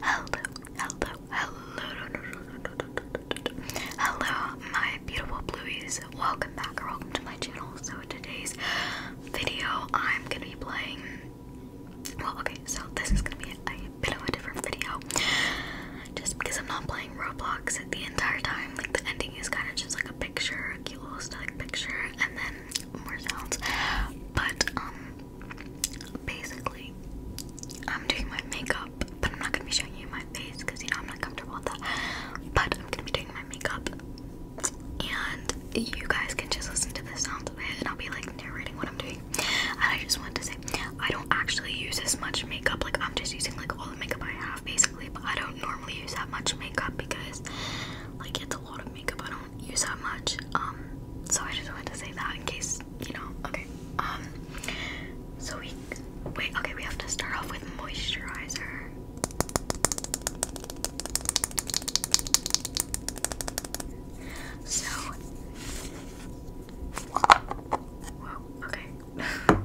Hello, hello, hello, hello, my beautiful blueies. Welcome back or welcome to my channel. So today's video, I'm gonna be playing. Well, okay, so this is gonna be a bit of a different video, just because I'm not playing Roblox the entire time. Like the ending is kind of just like a picture, a cute little static picture, and then more sounds. But um, basically, I'm doing my makeup, but I'm not gonna be showing you my face because you know I'm not comfortable with that. But I'm gonna be doing my makeup, and you guys can just listen to the sounds of it, and I'll be like narrating what I'm doing. And I just wanted to say, I don't actually use as much makeup. Like I'm just using like all the makeup I have, basically. But I don't normally use that much makeup because, like, it's a lot of makeup. I do use that much. Um, so I just wanted to say that in case you know. Okay. Um. So we wait. Okay, we have to start off with moisturizer. So. Whoa. Okay.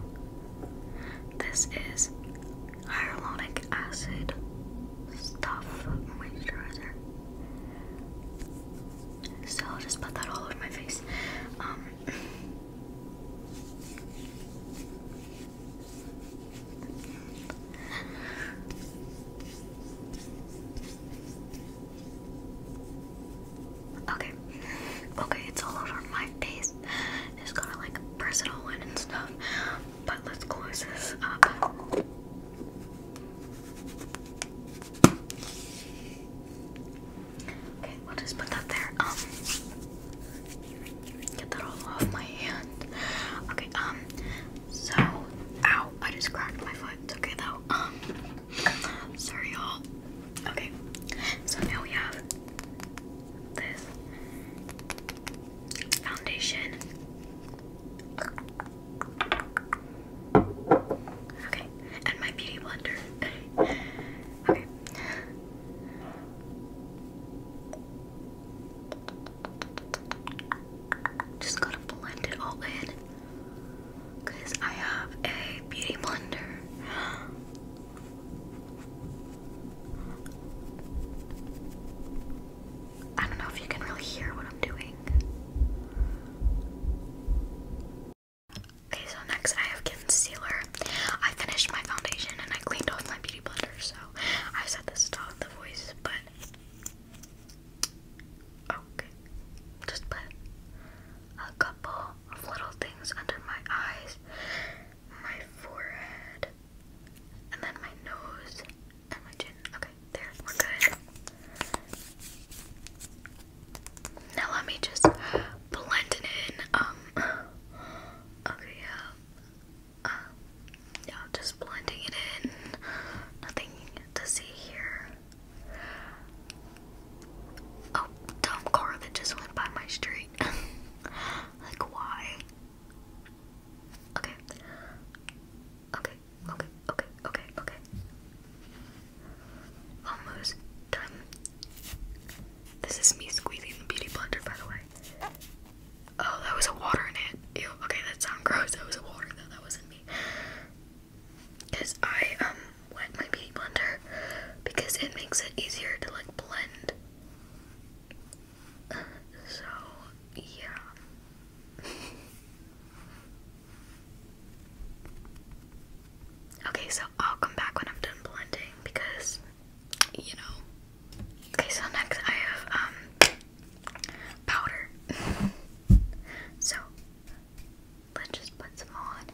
this is hyaluronic acid stuff moisturizer. So I'll just put that all over my face. Um, okay, okay, it's all over my face. Just got like press it and stuff but let's close this up. Okay, we'll just put that there. Um, get that all off my hand. Okay, um, so, ow, I just cracked my foot. It's okay though. Um, sorry y'all. Okay, so now we have this foundation. Okay, and my beauty blender. okay. Just gotta blend it all in. Cause I have a beauty blender. I don't know if you can really hear what I'm doing. Okay, so next I have concealer. I finished my foundation and I cleaned off my beauty blender, so I said this to the voice, but okay. Just put a couple of little things under my eyes, my forehead, and then my nose, and Okay, there, we're good. Now let me just blend it in. Um, okay, yeah, um, yeah, just blending it in. Nothing to see here. Oh, dumb car that just went by my street. like, why? Okay. Okay, okay, okay, okay, okay, okay. Almost done. This is me squeezing the beauty blender, by the way. Oh, that was a water in it. Ew, okay, that sounds gross. That was a water, though. That wasn't me. Because I, um, wet my beauty blender because it makes it easier to, like, blend. Uh, so, yeah okay, so I'll come back when I'm done blending because, you know. Okay, so next I have um powder. so let's just put some on,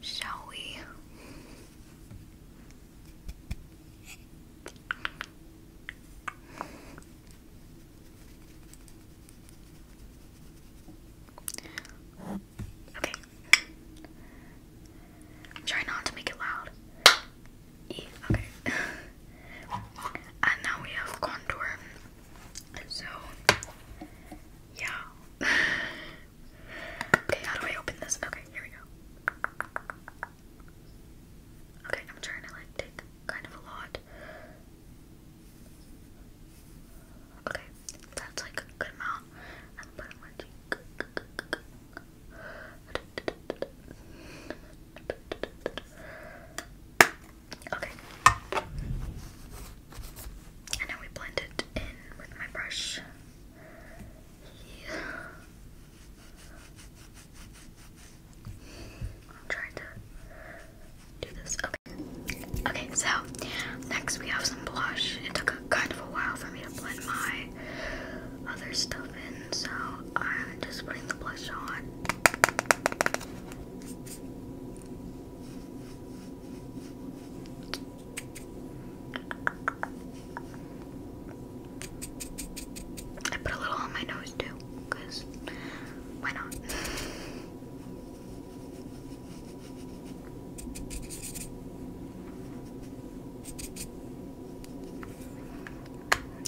shall we? Okay. Try not to make it loud. okay. and now we have contour. So yeah. okay, how do I open this? Okay, here we go. Okay, I'm trying to like take kind of a lot. Okay, that's like a good amount. Okay. And now we blend it in with my brush. Yeah. I'm trying to do this. Okay. Okay, so next we have some blush. It took kind of a while for me to blend my other stuff in, so I'm just putting the blush on. I put a little on my nose too why not?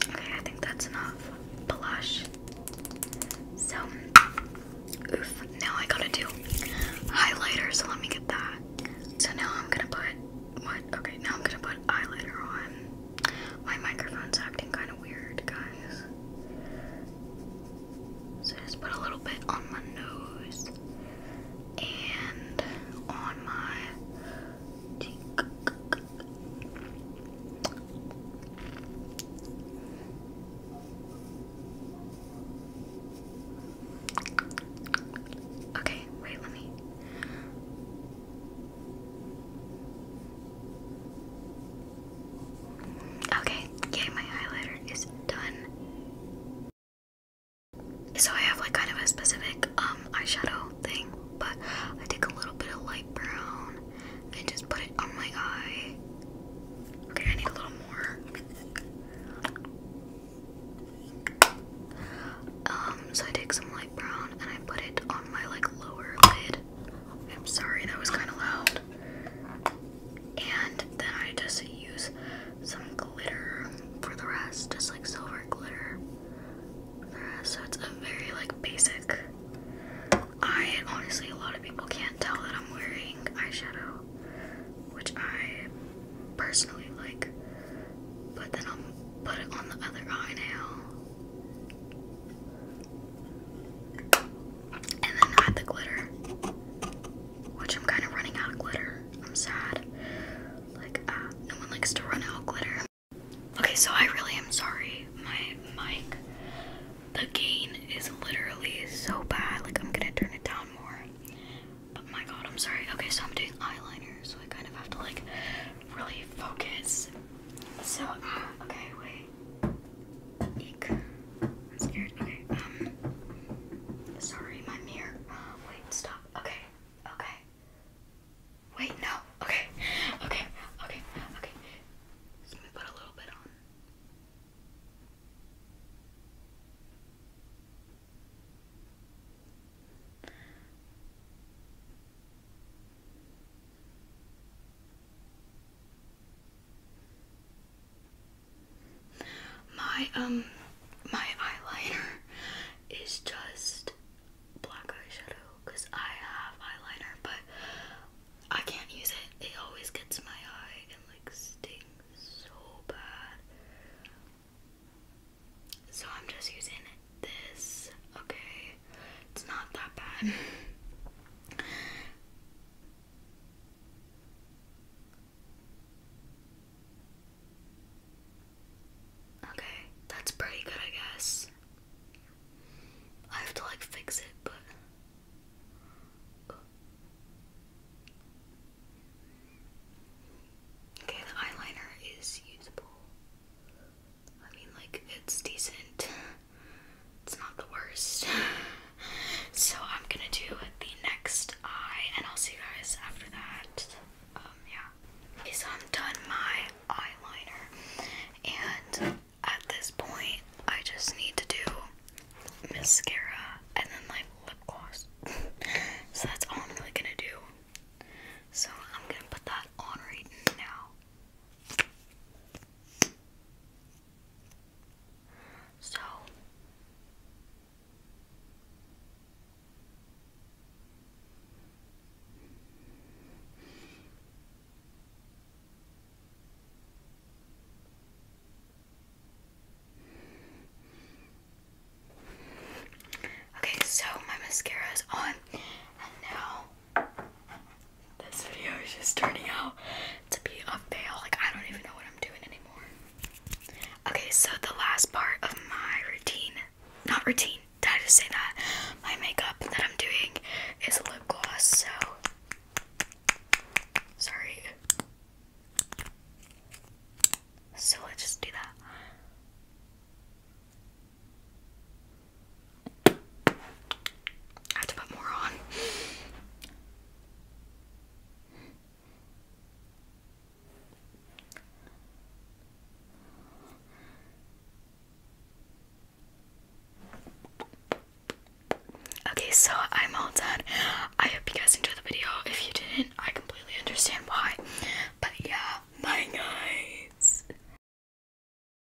Okay, I think that's enough blush. So, oof, now I gotta do highlighter, so let me get that. So now I'm gonna put, what? Okay, now I'm gonna put eyeliner on. My microphone's acting kind of weird, guys. So just put a little bit on my nose and on my Okay, wait, let me. Okay, yay, my highlighter is done. So I have like kind of a specific um eyeshadow thing, but I take a little bit of light brown and just put it on my eye. Okay, I need a little more. Um, so I take some light brown and I put it on my like lower lid. I'm sorry, that was kind of loud. And then I just use some glitter for the rest, just like silver glitter for the rest. So it's a very like basic. I honestly, a lot of people can't tell that I'm wearing eyeshadow, which I personally like. But then I'll put it on the other eye now. And then add the glitter. Which I'm kind of running out of glitter. I'm sad. Like, uh, no one likes to run out of glitter. Okay, so I really am sorry. My mic, the gain is literally so bad. Like, I'm gonna turn it down more. But my god, I'm sorry. Okay, so I'm doing eyeliner, so I kind of have to, like, really focus. So, uh, okay, wait. Eek. I'm scared. Okay. Um. Sorry, my mirror. Uh, wait. Stop. Okay. Okay. Wait. No. Okay. Okay. Okay. Okay. let me put a little bit on. My um my eyeliner is just black eyeshadow because I have eyeliner but I can't use it. It always gets my eye and like stings so bad. So I'm just using this, okay? It's not that bad. Okay, that's pretty good, I guess. I have to like fix it, but. Okay, the eyeliner is usable. I mean, like, it's decent. It's not the worst. so I'm gonna do the next eye, and I'll see you guys after that. Um, yeah. so I'm done my eyeliner, and at this point, I just need to do mascara and then like lip gloss. so that's all I'm really gonna do. So I'm gonna put that on right now. So Okay, so my mascara is on, and now this video is just turning out to be a fail. Like, I don't even know what I'm doing anymore. Okay, so the last part of my routine, not routine, did I just say that? My makeup that I'm doing is lip gloss, so. Sorry. So let's just do that. I have to put more on. Okay, so I'm all done. I hope you guys enjoyed the video. If you didn't, I completely understand why. But yeah, my guys.